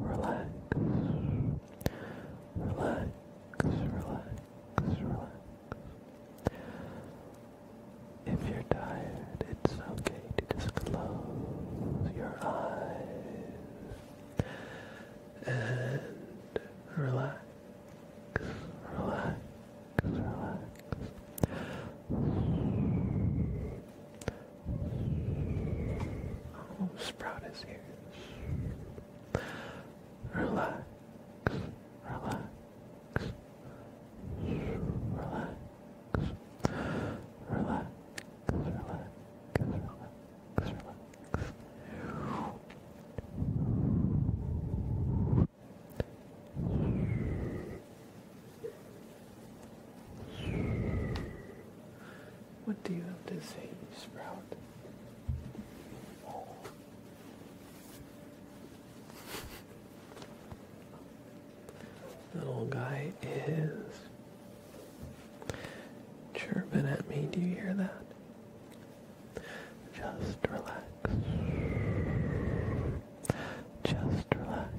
Relax, relax, relax, relax. If you're tired, it's okay to just close your eyes and relax, relax, relax. Oh, Sprout is here. relax, relax, relax, relax, relax, relax. Relax. What do you have to say, Sprout? That old guy is chirping at me. Do you hear that? Just relax. Just relax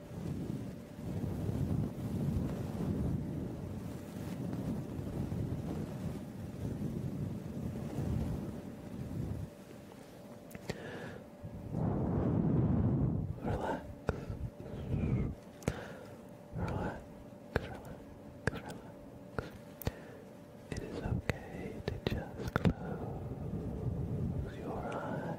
Relax. Relax. Relax. Relax. It is okay to just close your eyes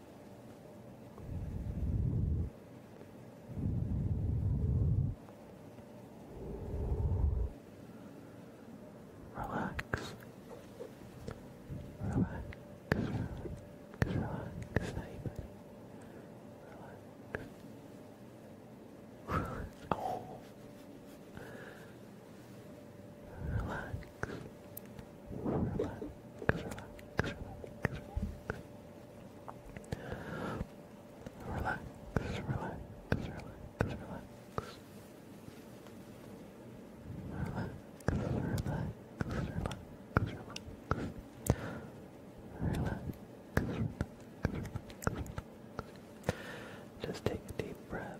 Relax. Relax. Relax. Relax, everybody. Relax. Relax. Oh. Relax relax, relax, relax, relax, relax, relax, relax. Relax, relax, relax, Just take a deep breath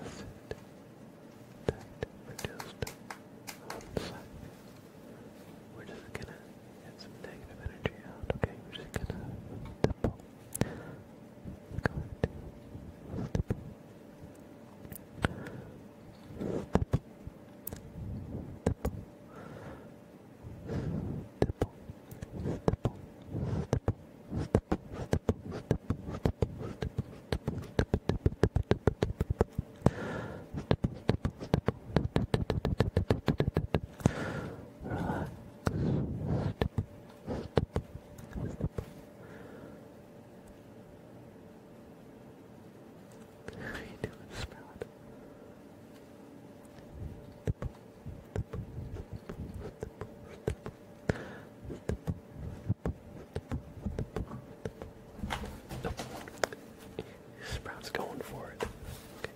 Acid that produced on site. We're just gonna get some negative energy out, okay? We're just gonna stipple. Go ahead. Stipple. How are you doing, Sprout? Sprout's going for it. Okay.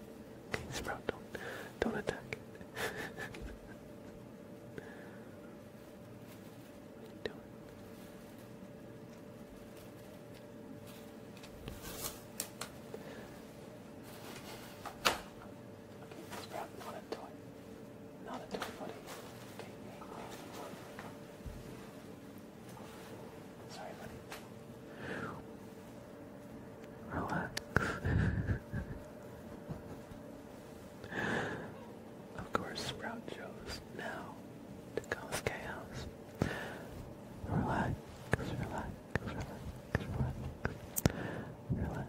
Sprout, don't don't attack it. What Okay, that's probably not a Not a toy, buddy. Okay, Relax. Of course, Sprout chose now to cause chaos. Relax, relax, relax, relax, relax,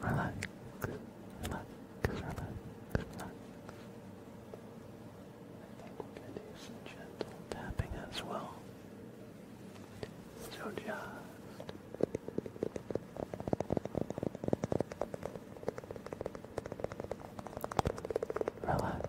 relax, relax, relax, relax. I think we're going to do some gentle tapping as well. So just Relax.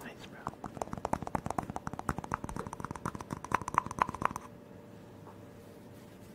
Nice, bro.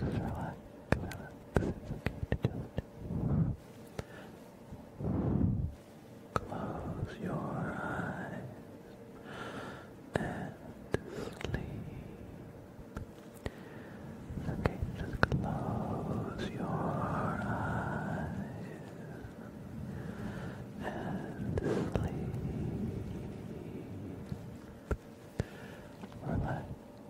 just relax, relax. It's okay to just close your eyes and sleep. It's okay, just close your eyes and sleep. Relax,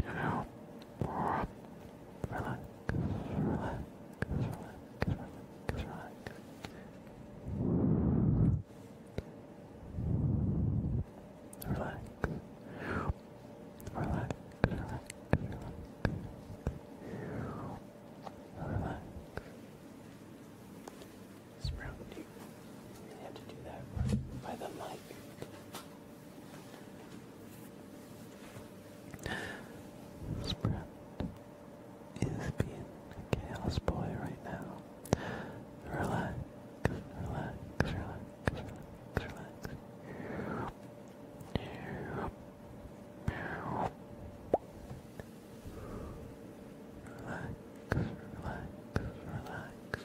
You know, relax, relax, relax, relax, relax. Relax. Relax, relax, relax. It's around you. have to do that by the mic. Sprat is being a chaos boy right now. Relax, relax, relax, relax, relax. Relax, relax, relax.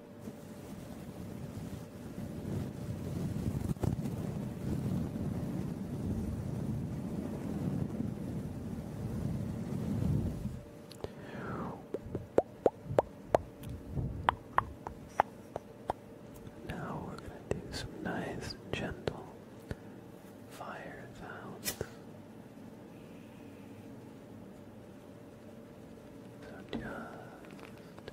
Now we're going to do some nice, gentle fire sounds. So just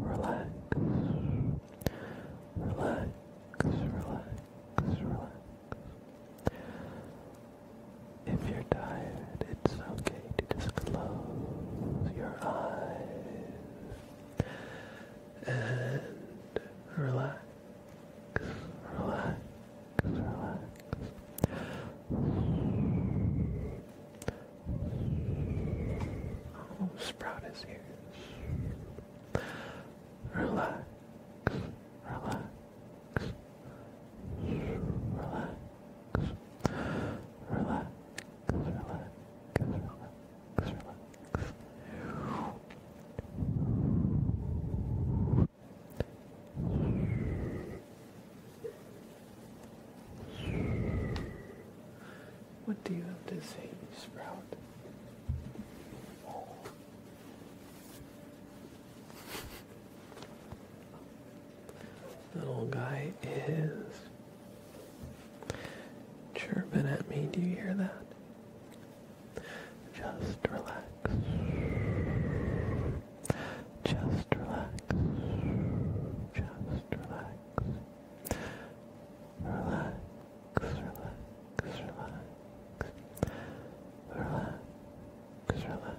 Relax, relax, relax, relax. If you're tired, it's okay to just close your eyes and relax, relax, relax. Sprout is here. Relax, relax, relax relax, What do you have to say, Sprout? Little guy is chirping at me. Do you hear that? Just relax. Just relax. Just relax. Relax, relax, relax. Relax, relax. Relax, relax.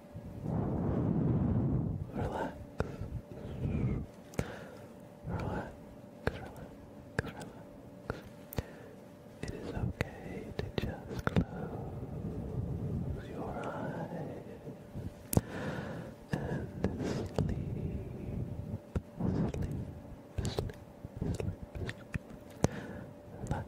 Relax. Relax. Relax. Relax. It is okay to just close your eyes and sleep. Sleep. Sleep. Sleep. Sleep.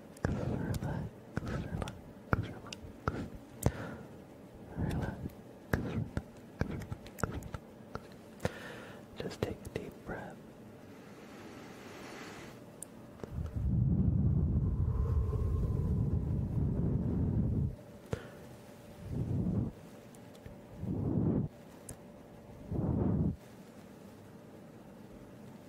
relax, relax, relax. Relax, relax, Just take a deep breath.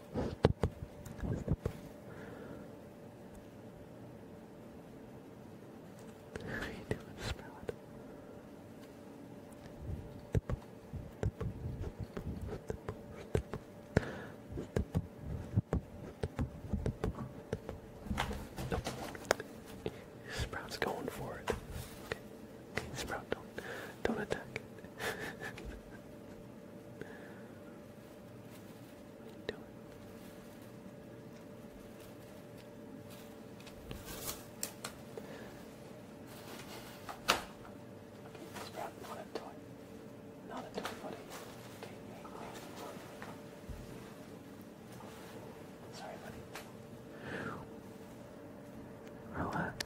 How you doing, Sprout? Sprout's going for it. Okay. okay Sprout, don't don't attack it. What are you it's probably not a toy. Not a toy, buddy. Sorry, buddy. Relax.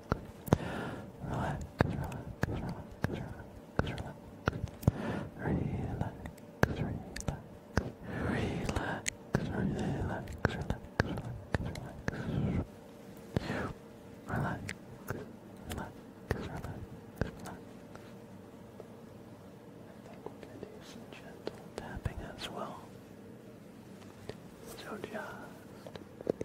Relax, relax, relax, relax, relax. Relax, relax. Relax, relax, relax, relax, relax. Relax, relax, relax, I think we're going to do some gentle tapping as well. So just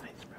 Nice, bro.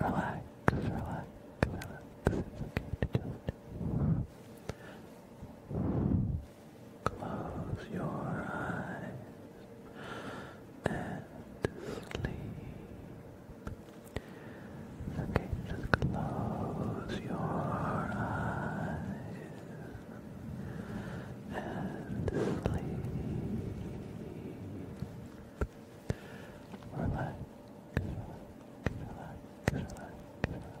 Relax, relax, relax. Relax, relax, It's okay to just close your eyes and sleep. Okay, just close your eyes and sleep. Relax, relax, relax, relax, relax, relax,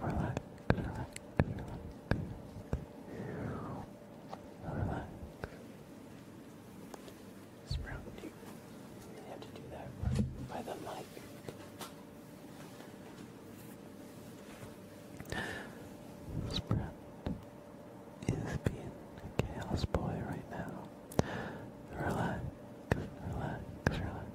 relax, relax, relax, relax. you have to do that by the mic. Sprout is being a chaos boy right now. Relax, relax, relax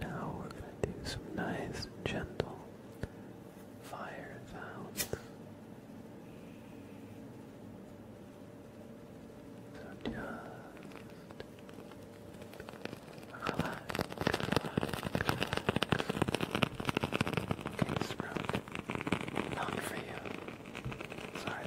Now we're going to do some nice, gentle fire sounds. So just relax, relax, relax. Not for you. Sorry,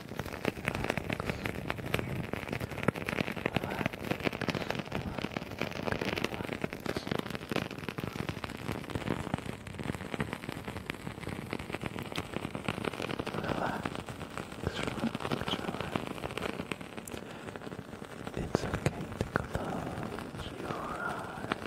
It's okay to close your eyes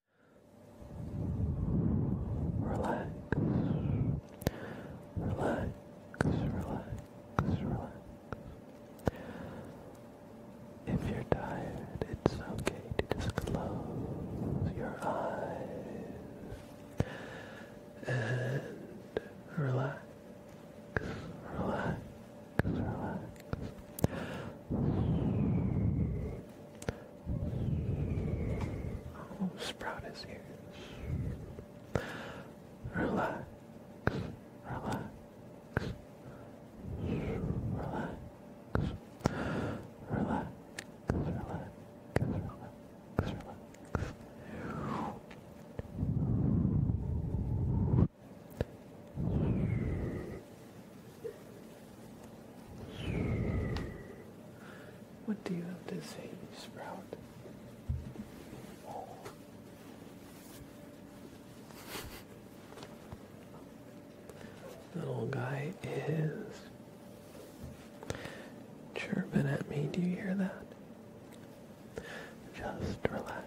Relax. Relax. Relax. Relax. If you're tired, it's okay to just close your eyes and relax. Relax. Relax sprout is here. relax, relax, relax, relax, relax, relax. Relax. What do you have to say, Sprout? That Little guy is chirping at me. Do you hear that? Just relax.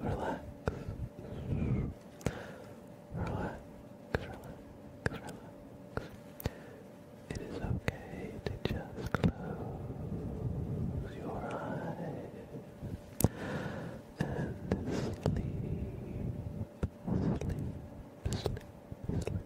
Relax. Relax. Relax. Relax. It is okay to just close your eyes and sleep, sleep, sleep, sleep, sleep.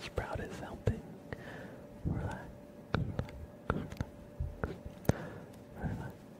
Sprout is helping. relax,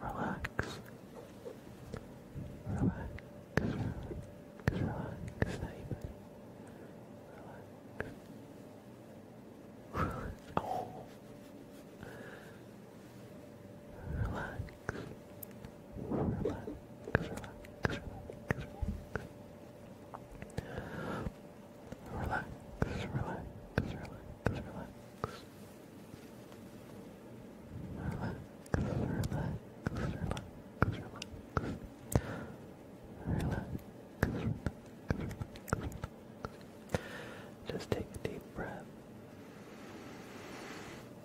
Relax. Relax. Relax. Relax. Relax. Relax. Oh. Relax relax, relax, relax, relax, relax, relax. relax. Relax, relax, relax, relax. Just take a deep breath.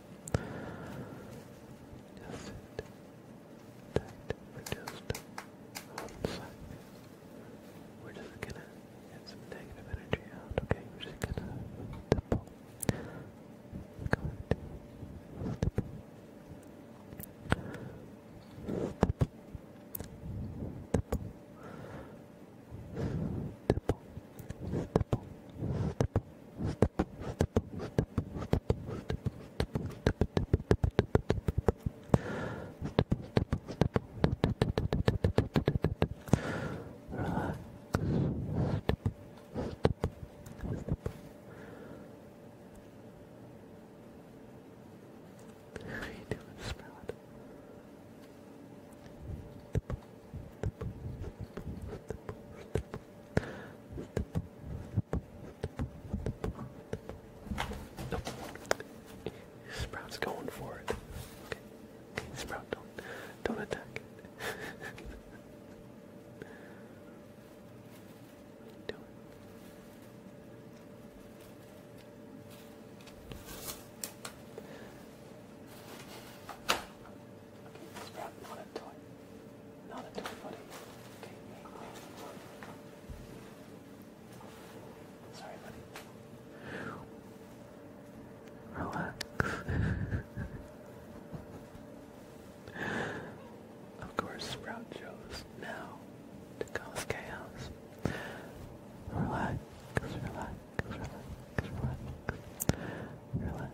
Just sit tight for just one second. We're just gonna get some negative energy out, okay? We're just gonna stipple. Go ahead. Stipple. Stipple. Stipple. How you doing, Sprout? Sprout's going for it. Okay. okay Sprout, don't don't attack it. Do it. Okay, let not a toy. Not a toy, buddy. Okay, make, Sorry, buddy. Relax. of course, Sprout chose now to cause chaos. relax, relax, relax, relax. Relax,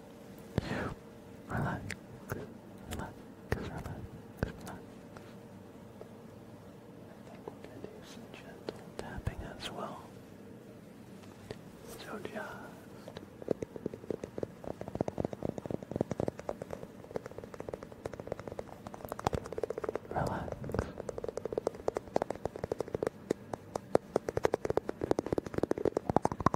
Relax, relax, relax, relax. I think gentle tapping as well. So just Relax.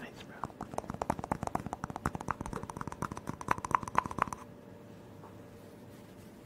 Nice, bro.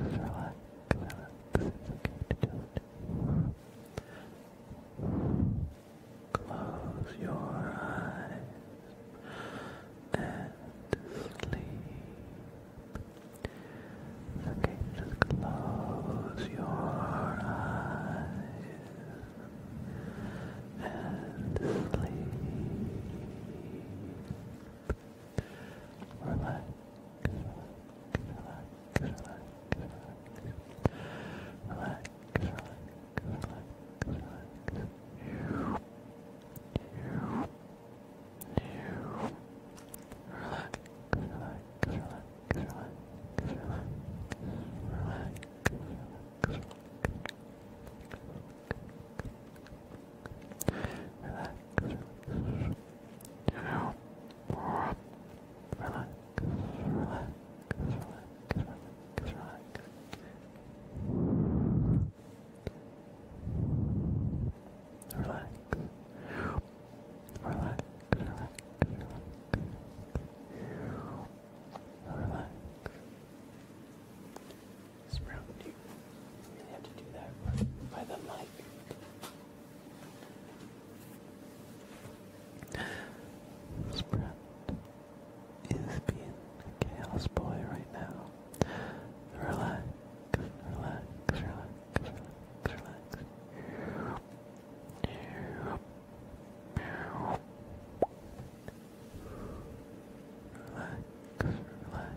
relax, relax. It's okay to do Close your eyes and sleep. It's okay, just close your eyes and sleep. relax, relax relax, relax, relax, relax, relax. You, you, you. Relax, relax, relax, relax, relax, relax, relax. Relax, relax. Now, more up. Relax, relax, relax, relax, relax. Relax. Relax, relax, relax. Relax. Sprout, do you really have to do that by the mic? This brand is being a chaos boy right now. Relax, relax, relax, relax, relax. Relax, relax, relax.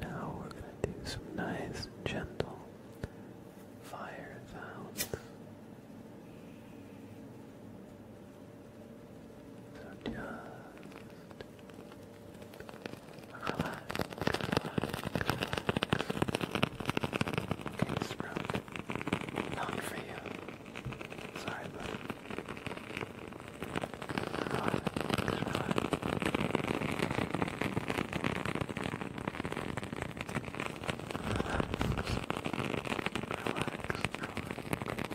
Now we're going to do some nice, gentle fire sounds. So just Relax, relax, relax. Okay, Not for you. Sorry, but relax, relax. Relax, relax, relax.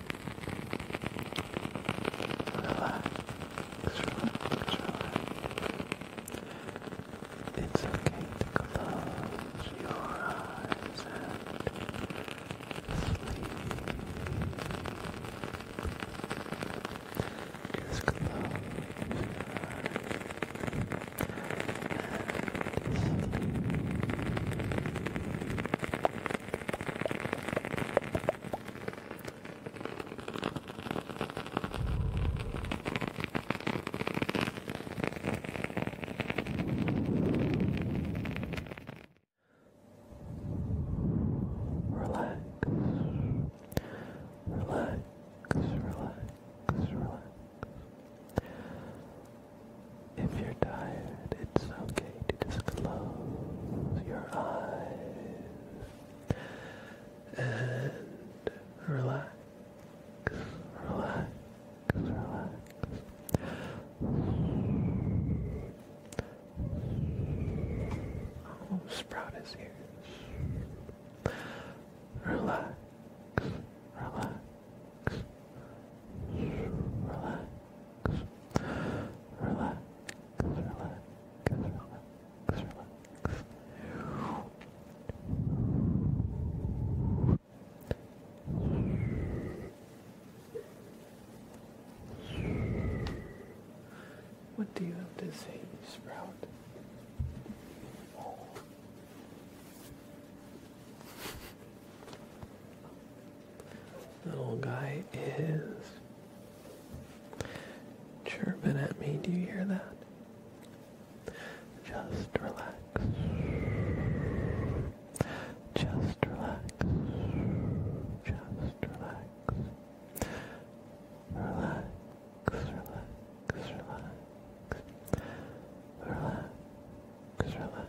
Relax, relax, relax. It's okay to close your eyes and sleep. Just close your eyes and sleep. Relax, relax, relax, relax. If you're tired, it's okay to close your eyes and relax, relax, relax. Sprout is here. Relax, relax, relax relax, relax, relax, relax. What do you have to say, Sprout? Little guy is chirping at me. Do you hear that? Just relax. Just relax. Just relax. Relax, relax, relax. Relax, relax.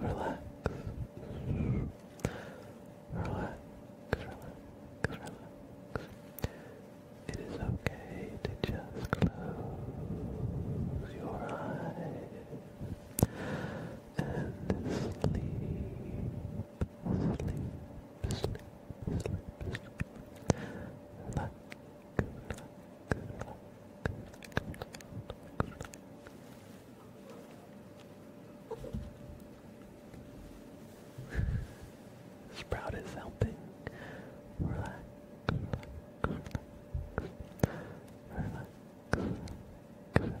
Relax. Relax, relax, It is okay to just close your eyes and sleep, sleep, sleep, sleep. Relax, relax, Sprout is helping. Relax. Relax. Relax. Relax. Relax.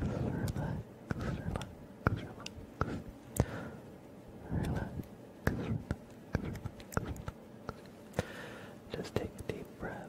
relax, relax, relax. Relax, Just take a deep breath.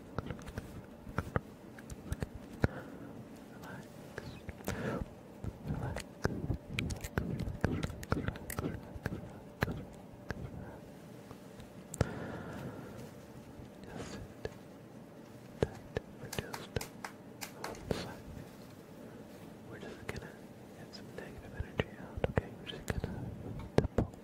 relax, relax, relax, relax, relax, just sit tight for just one second. We're just gonna get some negative energy out, okay? We're just gonna dip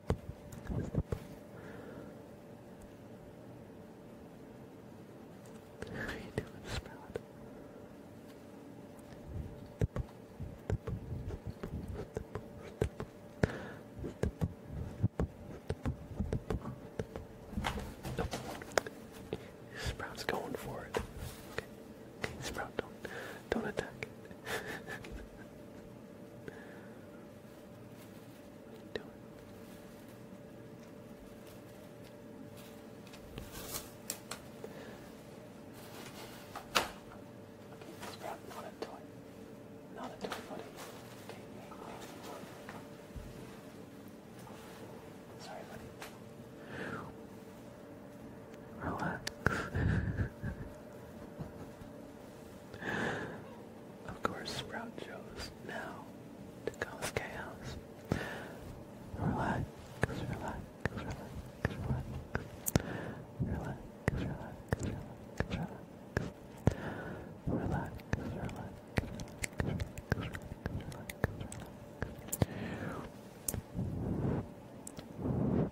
How are you doing, Sprout? Nope. Sprout's going for it. Okay. okay. Sprout, don't don't attack it you doing? Okay, this crap, not a toy. Not toy, buddy. Okay, Sorry, buddy. Relax. Of course, Sprout chose now to cause chaos. Relax, relax, relax, relax. Relax, relax, relax, relax. Relax, relax,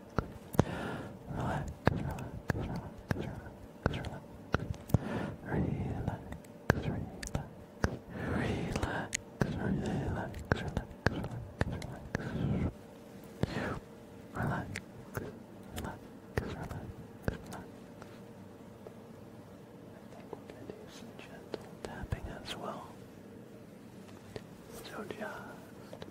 Relax, relax, relax, relax, relax. Relax, relax. Relax, relax, relax, relax, relax. Relax, relax, I think we're going to do some gentle tapping as well. So just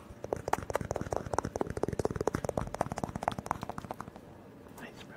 Nice, bro.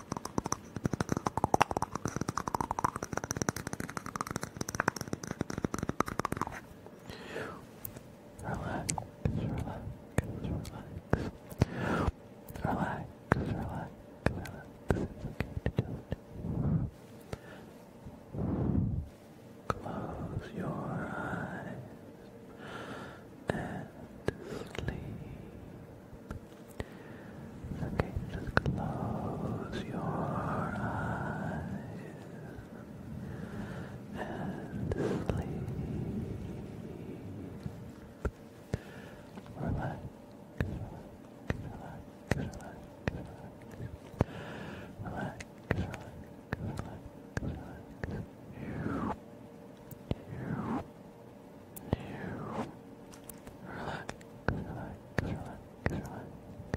Relax, relax, relax. Relax, relax, relax. It's okay to do Close your eyes and sleep. Okay, just close your eyes and sleep. Relax, relax, relax, relax, relax, relax, relax, relax. Relax, relax, relax relax,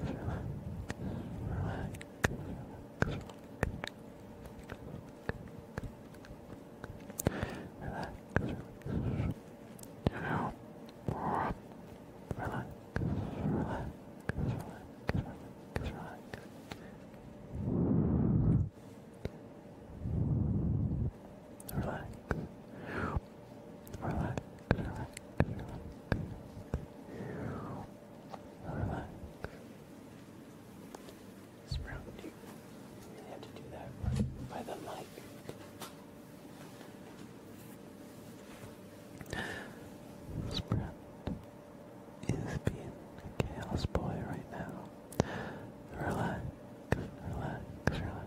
relax, relax, relax. Relax. Now, relax, relax, relax, relax, relax. Relax relax, relax, relax, relax. Sprout, you really have to do that by the mic. Sprout is being a chaos boy right now. Relax, relax, relax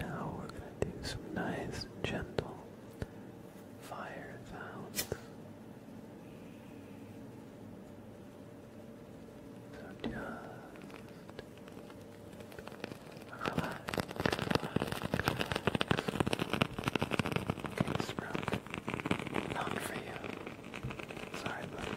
Now we're going to do some nice, gentle fire sounds. So just relax, relax, relax. Okay, Sprout, not for you. Sorry, buddy.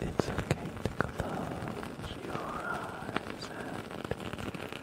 It's okay to close your eyes